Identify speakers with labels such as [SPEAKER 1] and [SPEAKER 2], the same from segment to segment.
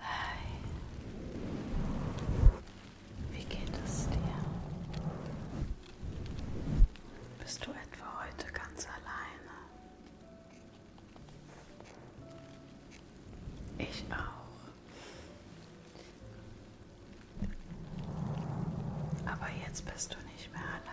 [SPEAKER 1] Hi. Wie geht es dir? Bist du etwa heute ganz alleine? Ich auch. Aber jetzt bist du nicht mehr alleine.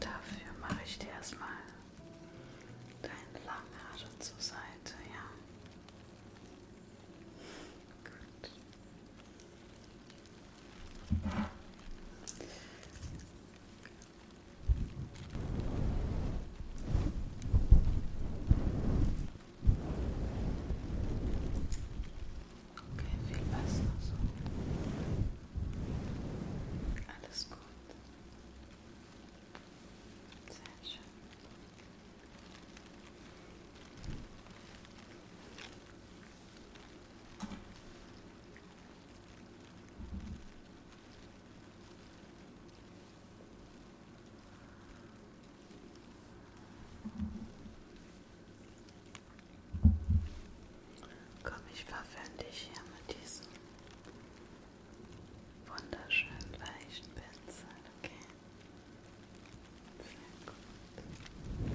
[SPEAKER 1] Dafür mache ich dir erstmal dein Langhaar zur Seite, ja. Gut. Okay, viel besser so. Alles gut. Sehr schön. Komm, ich verwöhne dich hier mit diesem wunderschönen weichen Pinsel, okay? Sehr gut. Sehr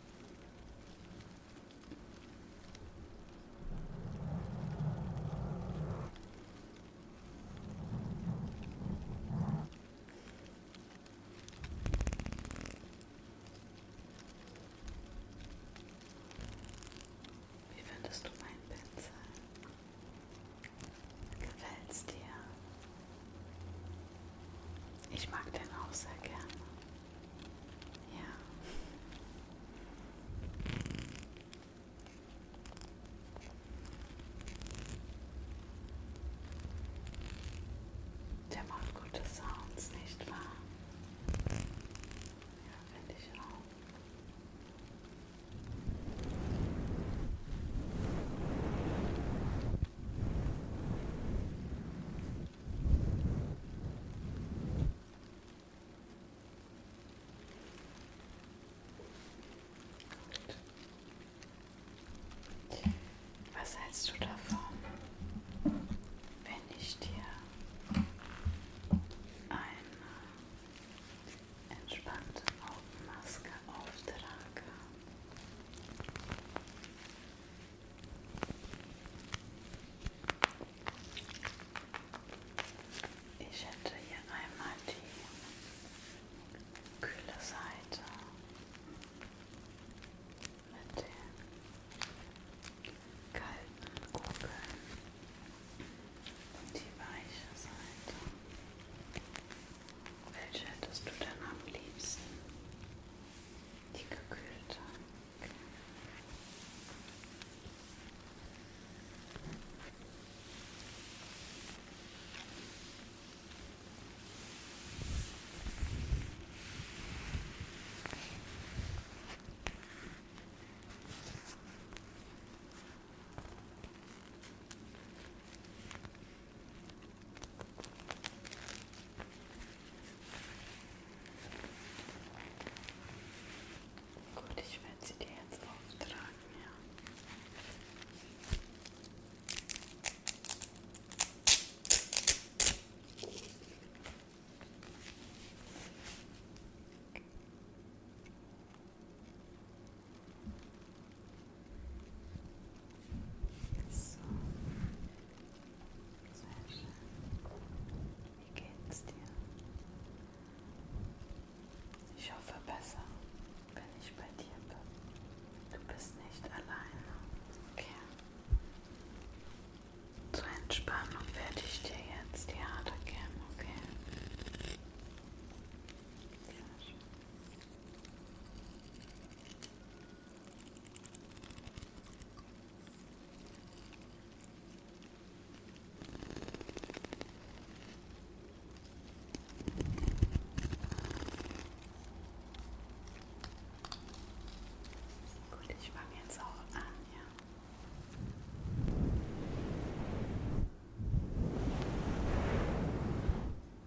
[SPEAKER 1] Wie findest du mein Pinsel? Gefällt's dir? Ich mag den auch sehr gerne. Ja. Der macht gute Sounds, nicht wahr? Ja, finde ich auch. Was hältst du davon, wenn ich dir eine entspannte Augenmaske auftrage? Ich hätte hier einmal die kühle Seite mit den kalten Kugeln und die weiche Seite. Welche hättest du denn am liebsten? Die gekühlte. Okay. Gut, ich werde sie dir jetzt auftragen, ja. So. Sehr schön. Wie geht's dir? Ich hoffe besser, wenn ich bei dir bin. Du bist nicht alleine. Okay. Zur Entspannung werde ich dir jetzt die Haare kämmen, okay? Sehr schön. Gut, ich fange jetzt auch an, ja. Gut.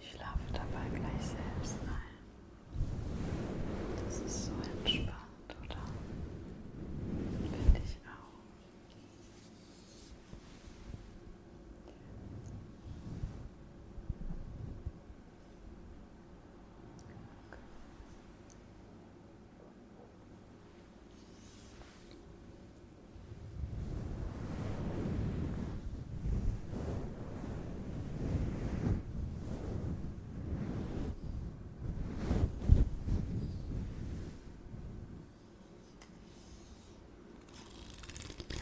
[SPEAKER 1] Ich schlafe dabei gleich selbst ein. Das ist so entspannt, oder? Finde ich auch. Okay.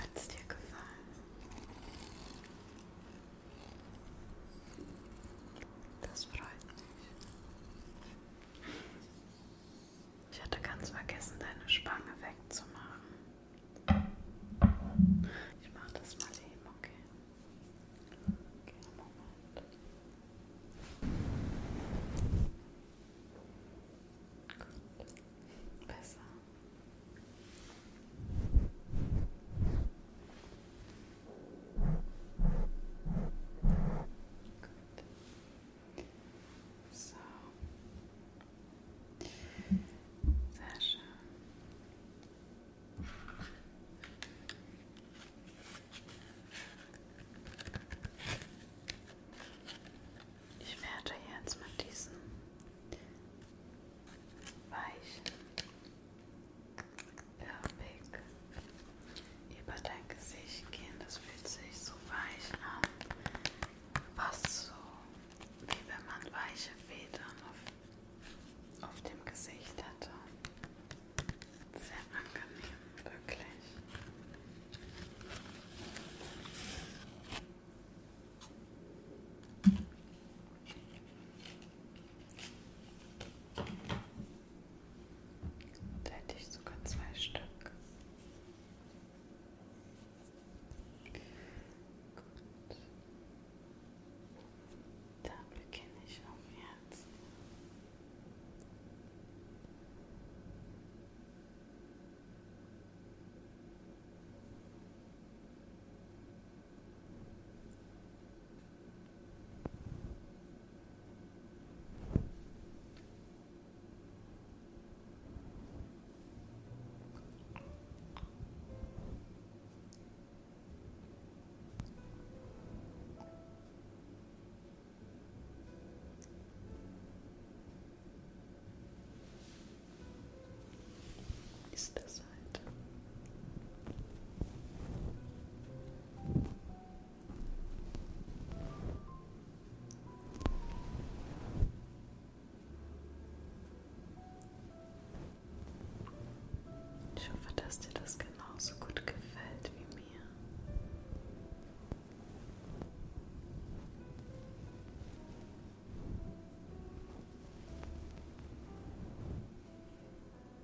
[SPEAKER 1] Hat es dir gefallen? Das freut mich. Ich hatte ganz vergessen, deine Spange wegzumachen. Ich mache das mal eben, okay? Okay, Moment. Gut. Besser. Gut. So. Sehr schön. Ich werde jetzt mit diesem weichen Perfekt. Über dein Gesicht gehen, das fühlt sich so weich an. Fast so, wie wenn man weiche Federn auf, auf dem Gesicht hatte. Sehr angenehm, wirklich. Da hätte ich sogar zwei Stück. Gut. Da beginne ich am Herzen ist das halt. Ich hoffe, dass dir das genauso gut gefällt wie mir.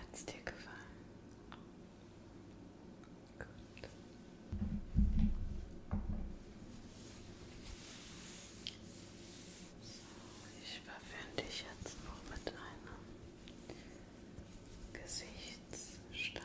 [SPEAKER 1] Hat es dir gefallen? Gut. So, ich verwöhne dich jetzt noch mit einem Gesichtsstein.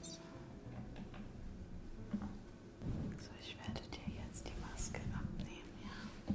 [SPEAKER 1] So. so, ich werde dir jetzt die Maske abnehmen, ja.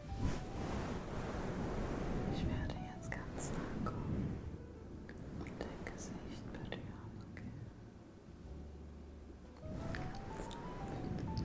[SPEAKER 1] Ich werde jetzt ganz nah kommen und dein Gesicht berühren, okay? Ganz sanft. Ganz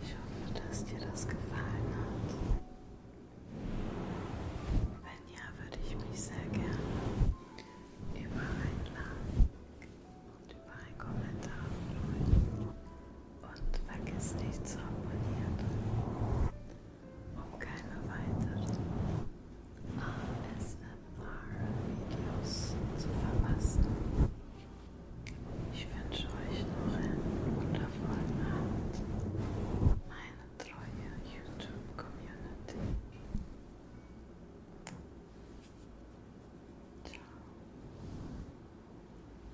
[SPEAKER 1] Ich hoffe, dass dir das gefallen hat. Wenn ja, würde ich mich sehr gerne über ein Like und über einen Kommentar freuen. Und vergiss nicht zu abonnieren, um keine weiteren ASMR-Videos zu verpassen. Ich wünsche euch noch einen wundervollen Abend, meine treue YouTube-Community. Ciao.